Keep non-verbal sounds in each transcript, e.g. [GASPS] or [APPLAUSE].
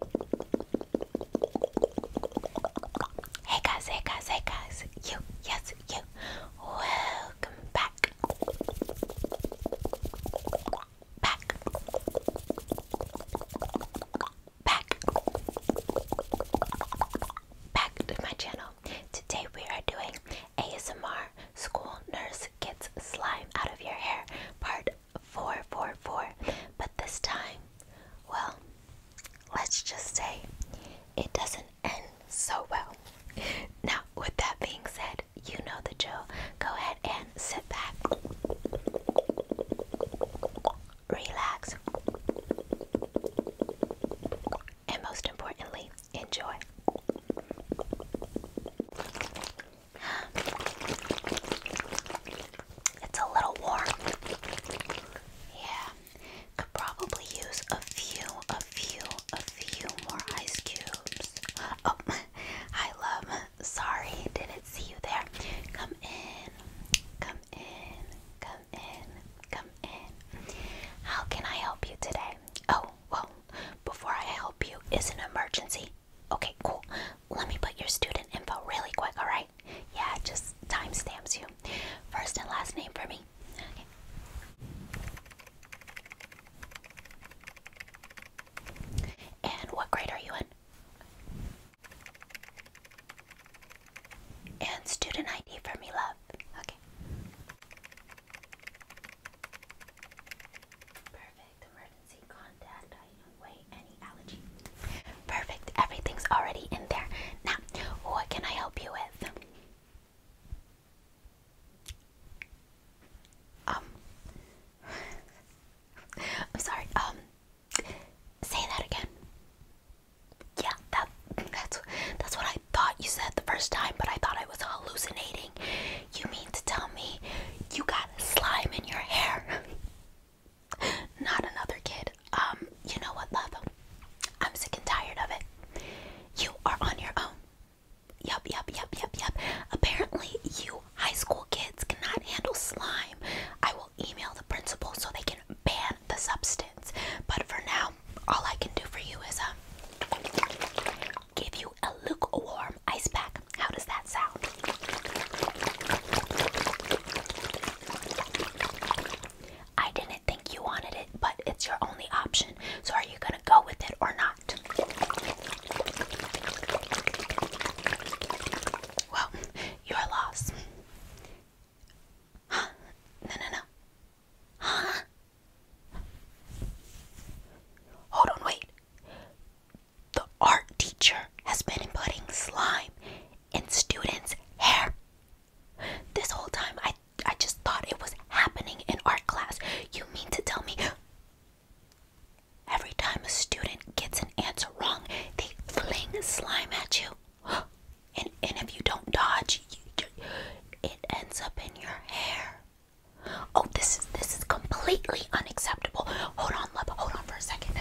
Hey guys, hey guys, hey guys, you, yes, you, welcome back. Back. Back. Back to my channel. Today we are doing ASMR School Nurse Gets Slime Out of Your Hair Part 444. But this time, well, let's just say it doesn't end so well. [LAUGHS] Now, with that being said, you know the drill. Go ahead and sit back, relax, and most importantly, enjoy. It's a little warm. Yeah. Could probably use a few, a few, a few more ice cubes. Oh, [LAUGHS] I love. Sorry, didn't see you there. Come in, come in, come in, come in. How can I help you today? Oh, well, before I help you, is an emergency. Okay, cool. Let me put your student info really quick, alright? Yeah, just timestamps you. First and last name for me. Okay. And what grade are you in? And student ID for me, love. Okay. Perfect. Perfect. Everything's already in there. Now, what can I help you with? Um. [SIGHS] I'm sorry. Um. Say that again. Yeah, that that's that's what I thought you said the first time, but I thought I was hallucinating. You mean to tell me you got slime in your hair? [LAUGHS] Not another kid. Um, you know what, love? I'm sick and tired of it. You are on your own. Yup, yup, yup, yup, yup. Apparently, you high school kids cannot handle slime. I will email the principal so they can ban the substance. But for now, all I can do for you is um, give you a lukewarm ice pack. How does that sound? I didn't think you wanted it, but it's your only option. So, are you going to go with it or not? Well, your loss. Huh? No, no, no. Huh? Hold on, wait. The art teacher has been putting slime in students' hair. This whole time, I I just thought it was happening in art class. You mean to tell me every time a student gets an answer wrong, they fling slime at you, [GASPS] and and if you don't dodge, it ends up in your hair. Oh, this is this is completely unacceptable. Hold on, love. Hold on for a second.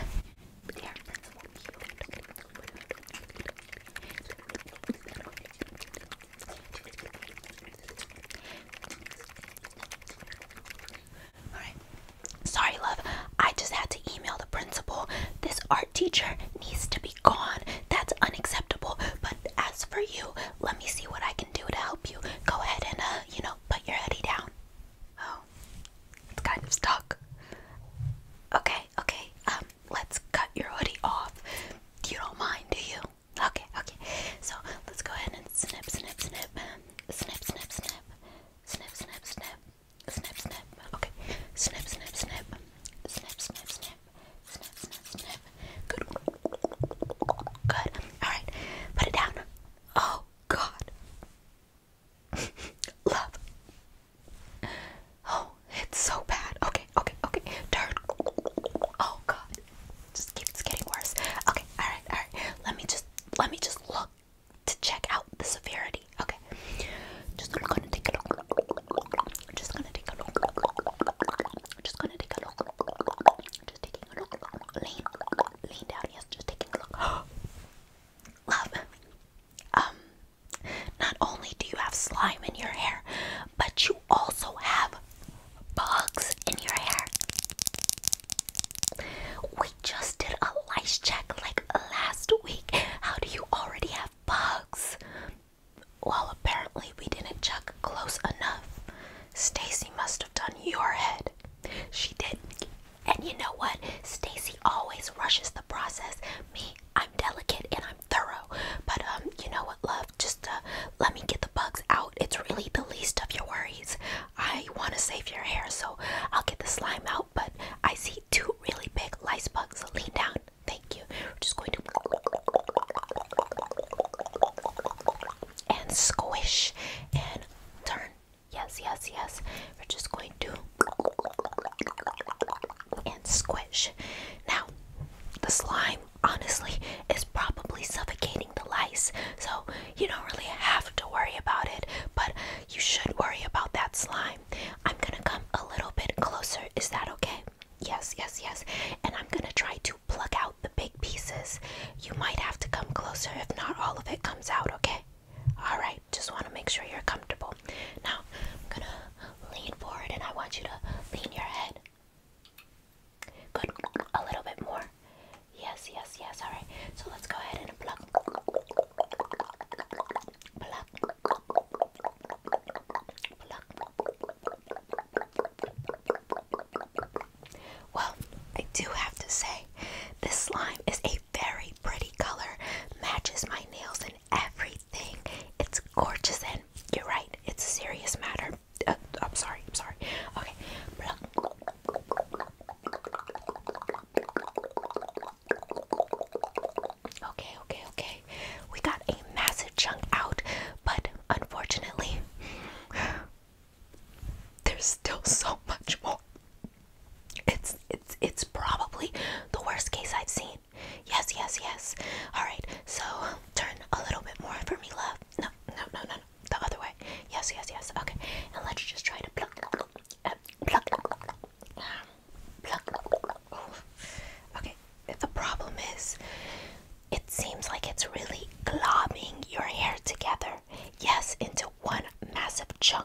Sorry, love. I just had to email the principal. This art teacher needs to be gone. That's unacceptable. But as for you, let me see what I can do to help you. Go ahead and, uh, you know, put your heady down. It's kind of stuck. Okay, okay. Um, let's cut your hoodie off. You don't mind, do you? Okay, okay. So let's go ahead and snip, snip, snip, snip, snip, snip, snip, snip, snip, snip, snip. Okay, snip, snip, snip, snip, snip, snip, snip, snip, snip. Good, good. All right, put it down. Oh God, Love. Oh, it's so bad. Okay, okay, okay. Turn. Oh god. Just keeps getting worse. Okay, alright, alright. Let me just let me just look to check out the severity. Okay. Just gonna take a look. Just gonna take a look. Just gonna take a look. Just taking a look. Lean lean down, yes, just taking a look. [GASPS] Love um, not only do you have slime in your hair, but you also have bugs in your hair. We just did a lice check like last week. How do you already have bugs? Well, apparently we didn't check close enough. Stacy must have done your head. She did and you know what? Stacy always rushes the process. Me, I'm delicate and I'm thorough. But um, you know what, love? Just uh, let me get the bugs out. It's really the least of your worries. I want to save your hair, so I'll get the slime out. But I see two really big lice bugs. lean down. Thank you. We're just going to and squish and turn Yes, yes, yes. We're just going to and squish. Now, the slime honestly is probably suffocating the lice, so you don't really have to worry about it, but you should worry about that slime. I'm gonna come a little bit closer. Is that okay? Yes, yes, yes. And I'm gonna try to pluck out the big pieces. You might have to come closer if not all of it comes out, okay? All right, just want to make sure you're comfortable. Now, I'm going to lean forward and I want you to lean your head. Good. A little bit more. Yes, yes, yes. All right. So let's go ahead and pluck. Pluck. Pluck. Well, I do have to say, this slime is a very pretty color, matches my nails and everything. It's gorgeous, and you're right, it's a serious matter. Uh, I'm sorry, I'm sorry. Okay, okay, okay. We got a massive chunk out, but unfortunately, [SIGHS] there's still so much more. It's it's it's probably the worst case I've seen. Yes, yes, yes. All right. So turn a little bit more for me, love. No, no, no, no, no. The other way. Yes, yes, yes. Okay. And let's just try to pluck, pluck, pluck, uh, pluck, pluck. Okay. The problem is, it seems like it's really globbing your hair together. Yes, into one massive chunk.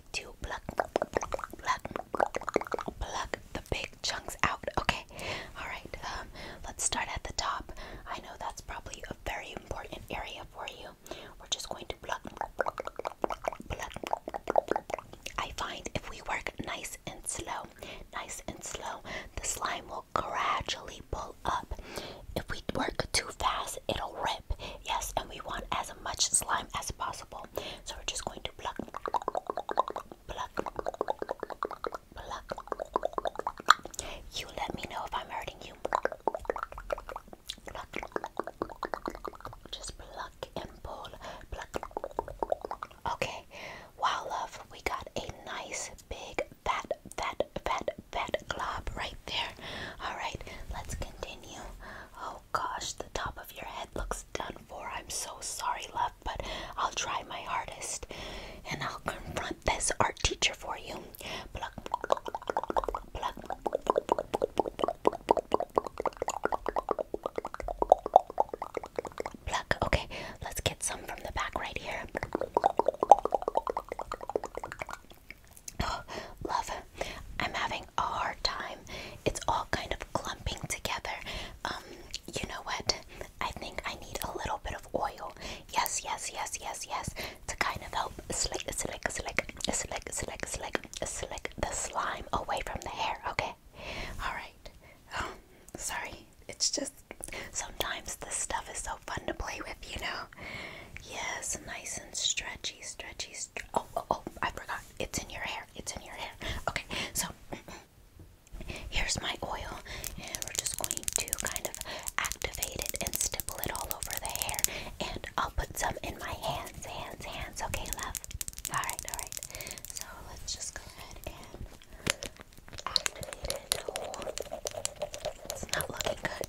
try to pluck, pluck, pluck the big chunks out. Okay, all right. Um, let's start at the top. I know that's probably a very important area for you. We're just going to pluck, pluck. I find if we work nice and slow, nice and slow, the slime will gradually pull up. If we work too fast, it'll rip. Yes, and we want as much slime as possible people. So we're just going to pluck, pluck, pluck. You let me know if I'm hurting you. Pluck. Just pluck and pull. Pluck. Okay. Wow, love, we got a nice big fat, fat, fat, fat glob right there. All right, let's continue. Oh, gosh, the top of your head looks done for. I'm so sorry, love, but I'll try my hardest and I'll confront this art teacher for you. Pluck, pluck, pluck. Okay, let's get some from the back right here. [GASPS] love, I'm having a hard time it's all kind of clumping together. Um, you know what? I think I need a little bit of oil. Yes, yes, yes, yes, yes, to kind of help slick, slick, slick, slick, slick, slick, slick the slime away from the hair. Okay. All right. Oh, sorry. It's just sometimes this stuff is so fun to play with, you know. Yes, nice and stretchy, stretchy, Oh, oh, oh, I forgot. It's in your hair. It's in your hair. Okay, so [CLEARS THROAT] here's my oil, and we're just going to kind of activate it and stipple it all over the hair. And I'll put some in my hands, hands, hands. Okay, love. All right, all right. So let's just go ahead and activate it. Oh, it's not looking good.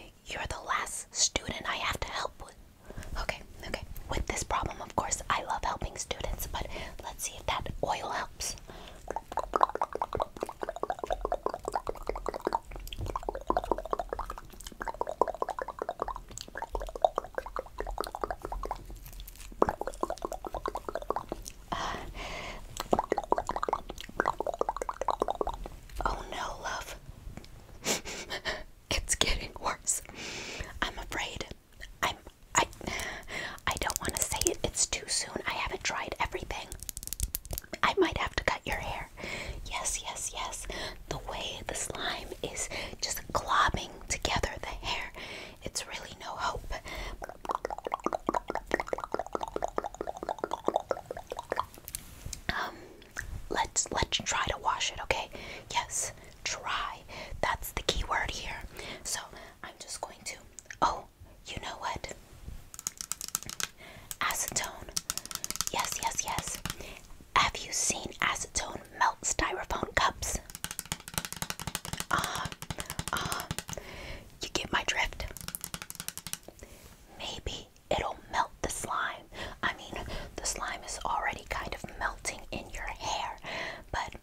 you're the last student I have to help with. Okay, okay. With this problem, of course, I love helping students, but let's see if that oil helps. Uh, Oh no, love. [LAUGHS] it's getting worse. I'm afraid. I'm I I don't want to say it. It's too soon. I haven't tried everything. I might have to cut your hair. Yes, yes, yes. The way the slime is just globbing together the hair. It's really no hope. Um, let's let's try to wash it, okay? Yes, try. That's the key word here. So I'm just going to. Oh, you know what? Acetone. Yes, yes, yes. Have you seen acetone melt styrofoam cups? Uh-huh, uh-huh. you get my drift. Maybe it'll melt the slime. I mean, the slime is already kind of melting in your hair, but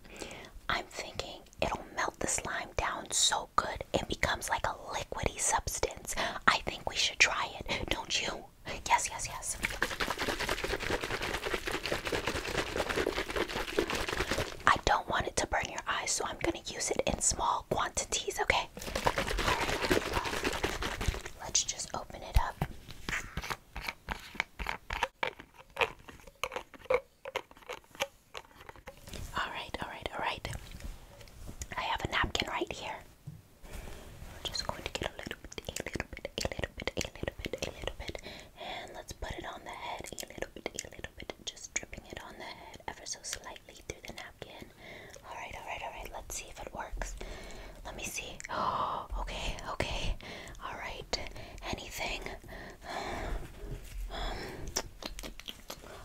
I'm thinking it'll melt the slime down so good it becomes like a liquidy substance. I think we should try it, don't you? Yes, yes, yes. I don't want it to burn your eyes, so I'm going to use it in small quantities, okay? let's just open it up. All right, all right, all right. I have a napkin right here. We're just going to get a little bit, a little bit, a little bit, a little bit, a little bit, and let's put it on the head. A little bit, a little bit, just dripping it on the head ever so slightly through the napkin. Alright, alright, alright. Let's see if it works. Let me see. Oh, [GASPS] okay, okay. Alright. Anything? Um,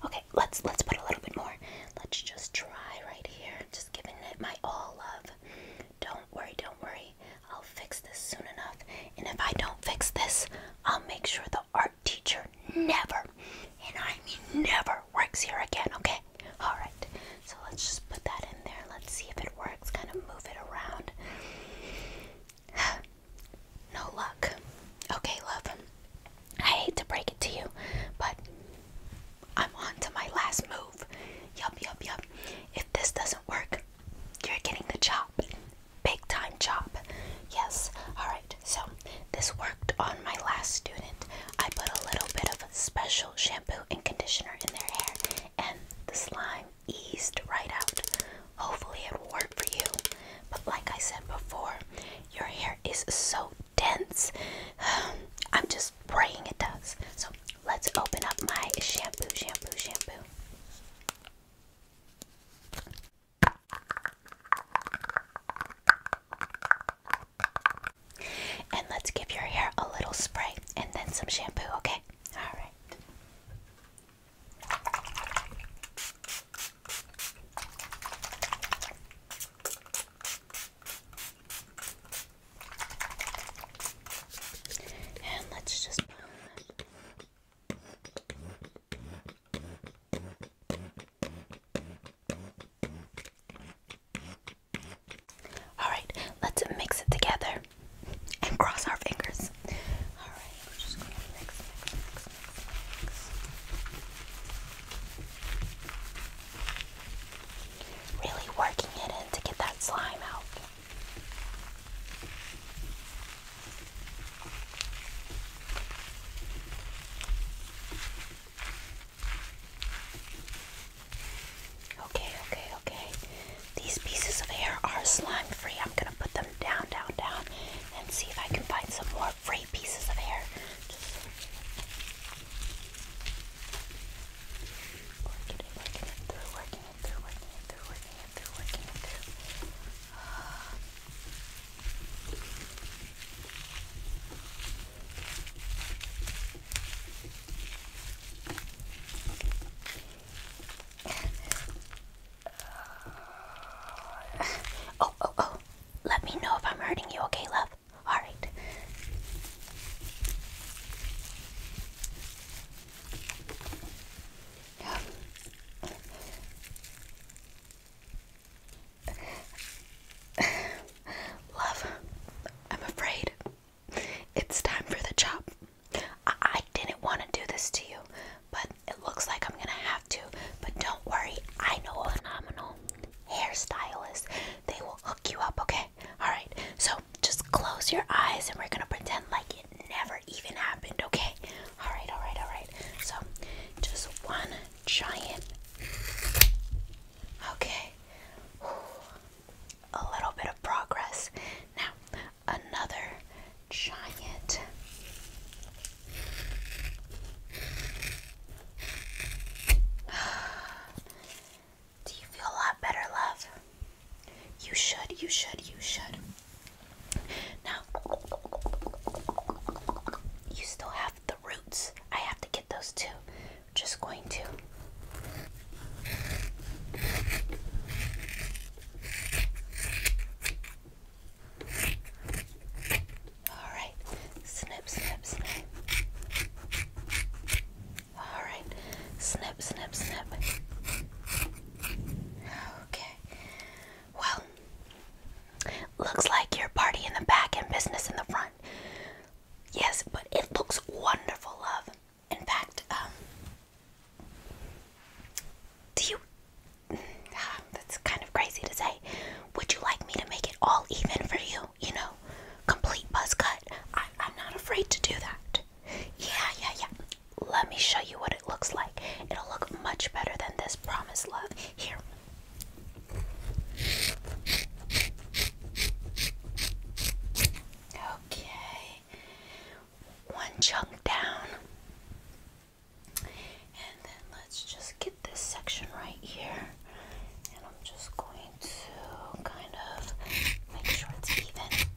okay, let's let's put a little bit more. Let's just try right here. Just giving it my all love. Don't worry, don't worry. I'll fix this soon enough. And if I don't fix this, I'll make sure that art teacher never, and I mean never, works here again, okay? Alright, so let's just put that in there. Let's see if it works. Kind of move it around. [SIGHS] no luck. Okay, love. I hate to break it to you, but I'm on to my last move. Yup, yup, yup. If this doesn't work, you're getting the job. Big time job. Yes. Alright so this worked on my last student. I put a little bit of special shampoo and conditioner in their hair, and the slime eased right out. Hopefully, it will work for you. But, like I said before, your hair is so dense. [SIGHS] I'm just praying it does. So, let's open up my shampoo, shampoo, shampoo. And let's give your hair a little spray and then some shampoo, okay? All right. And let's just. All right, let's mix it together and cross our fingers. Really working it in to get that slime out. Okay, okay, okay. These pieces of hair are slime free. I'm gonna put them down, down, down, and see if I can find some more free pieces of hair. working it, working it through, working it through, working it through, working it through, working it through. Uh, Oh, oh, oh. Let me know if I'm hurting you, okay, love? Alright. [SIGHS] Love, I'm afraid it's time for the chop. I, didn't want to do this to you, but it looks like I'm going to have to. But don't worry, I know a phenomenal hairstylist. They will hook you up, okay? Alright, so just close your eyes and we're going to pretend like it never even happened, okay? Alright, alright, alright. So just one giant Okay, a little bit of progress. Now, another giant. [SIGHS] Do you feel a lot better, love? You should, you should, you should. Now, you still have roots. I have to get those too. just going to all right, snip, snip, snip. All right, snip, snip, snip. Okay. Well, looks like your party in the back and business in the front. Yes, but it looks wonderful, love. In fact, um, do you. [SIGHS] That's kind of crazy to say. Would you like me to make it all even for you? You know, complete buzz cut. I, I'm not afraid to do that. Yeah, yeah, yeah. Let me show you what it looks like. It'll look much better than this, promise, love. Here, Okay, one chunk down, and then let's just get this section right here, and I'm just going to kind of make sure it's even.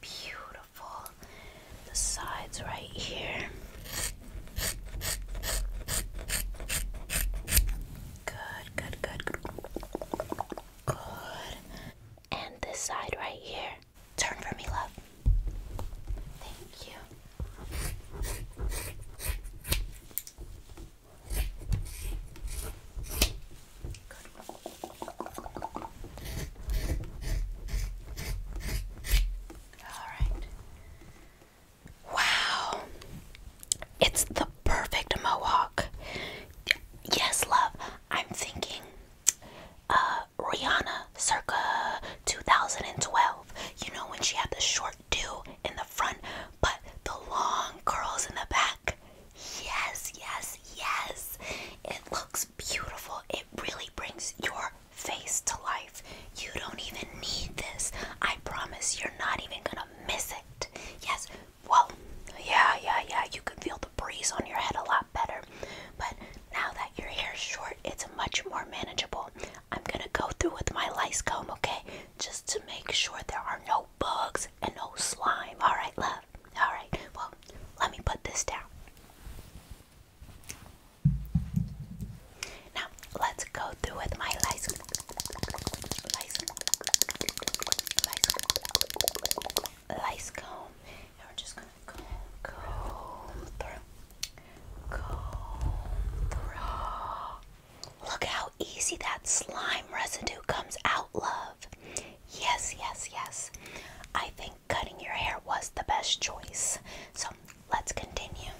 Beautiful, the sides right here. Good, good, good, good. Good. And this side right here. Turn for me, love. Thank you. All right. Wow. It's the perfect mohawk. Yes, love. I'm thinking uh, Rihanna circa 2012. You know when she had the short do in the front but the long curls in the back. Yes, yes, yes. It looks beautiful. It really brings your face to life. You don't even need this. I promise you're not even gonna miss it. Yes, well, yeah, yeah, yeah, you could feel the breeze on your head a lot better. But now that your hair's short, it's much more manageable. I'm gonna go through with my lice comb, okay? Just to make sure there are no bugs and no slime. Alright, love? Alright, well, let me put this down. Now let's go through with my lice. Lice. Lice. Lice comb. And we're just gonna comb, comb through. Comb through. Look how easy that slime residue comes out, love. Yes, yes, yes. I think cutting your hair was the best choice. So let's continue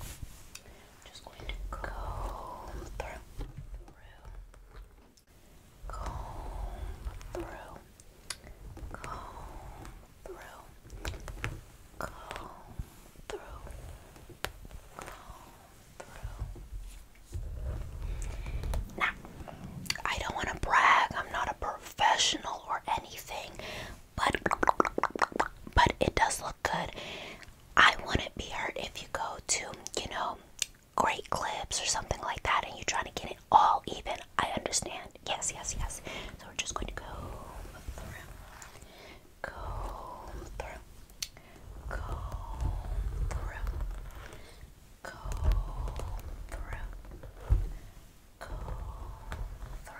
i just going to comb through, through, comb through, comb through, comb through, comb through. Now, I don't want to brag. I'm not a professional or anything, but but it does look good. I wouldn't be hurt if you go to, you know, great clips or something like that and you're trying to get it all even. I understand. Yes, yes, yes. So we're just going to go through. Go through. Go through. Go through. Go through.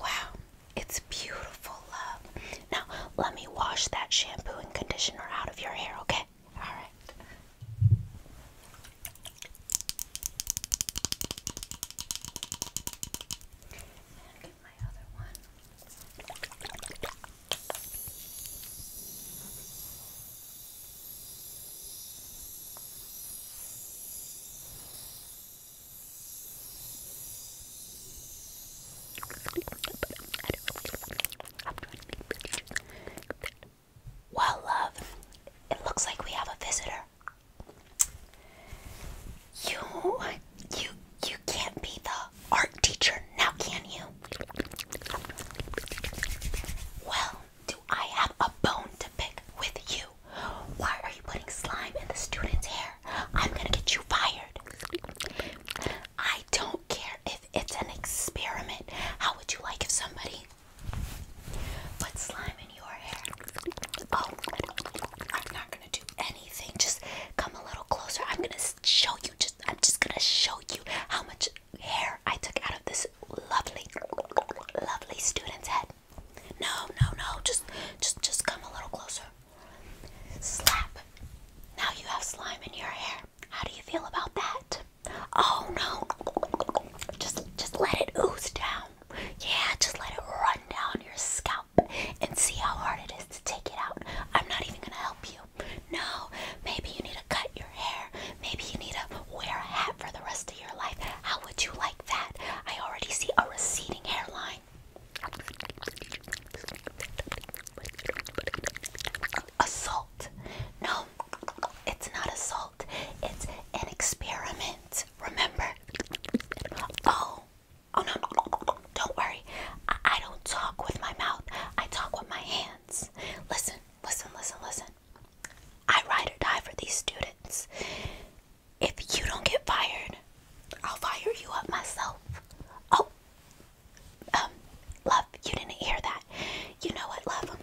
Wow. It's beautiful, love. Now, let me wash that shampoo and conditioner out of your hair, okay? All right. Well, love, it looks like we have a visitor. You, you, you can't be the art teacher now, can you? Well, do I have a bone to pick with you? Why are you putting slime in the student's hair? I'm gonna get you fired. I don't care if it's an experiment. How would you like if somebody put slime in your hair? Oh, I'm not gonna do anything. Just come a little closer. I'm gonna show you. Just I'm just gonna show you how much hair I took out of this lovely, lovely student's head. No, no, no. Just, just, just come a little closer. Slap! Now you have slime in your hair. How do you feel about that? Oh no! Just just let it ooze down. Yeah, just let it run down your scalp and see how hard it is to take it out. I'm not even gonna help you. No, maybe you need to cut your hair. Maybe you need to wear a hat for the rest of your life. How would you like that? I already see a receding hairline. Assault. No, it's not assault. It's an experiment. Remember? Oh, oh no. Don't worry. I, don't talk with my mouth. I talk with my hands. Listen, listen, listen, listen. I ride or die for these students if you don't get fired, I'll fire you up myself. Oh, um, love, you didn't hear that. You know what, love?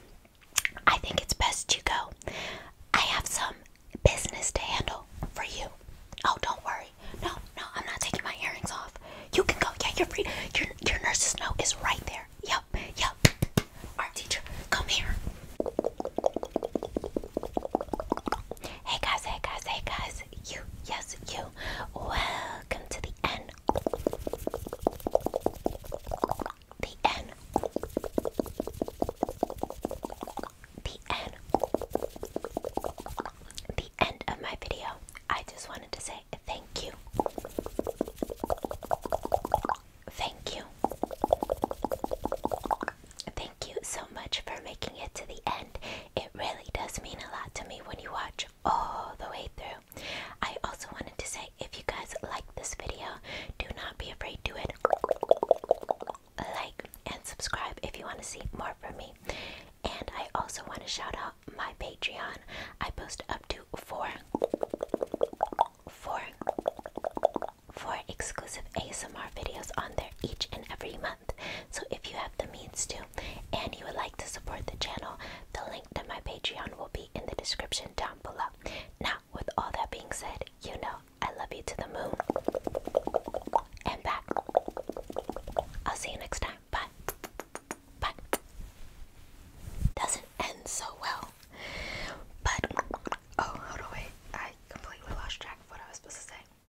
I think it's best you go. I have some business to handle for you. Oh, don't worry. No, no, I'm not taking my earrings off. You can go. Yeah, you're free. Your your nurse's note is right there. Yep, yep. Art teacher, come here. Hey guys, hey guys, hey guys you, yes, you. Welcome to the end. The end. The end. The end of my video. I just wanted to say thank you. Thank you. Thank you so much for making it to the end. It really does mean a lot to me when you watch all the way through. I also wanted to say if you guys like this video, do not be afraid to it. Like and subscribe if you want to see more from me. And I also want to shout out my Patreon. I post up to four four four exclusive ASMR videos on there each and every month. So if you have the means to and you would like to support the channel, the link to my Patreon will be in the description down below. Now, with all that being said, you know I love you to the moon and back. I'll see you next time. Bye. Bye. Doesn't end so well. But oh, how do I? I completely lost track of what I was supposed to say.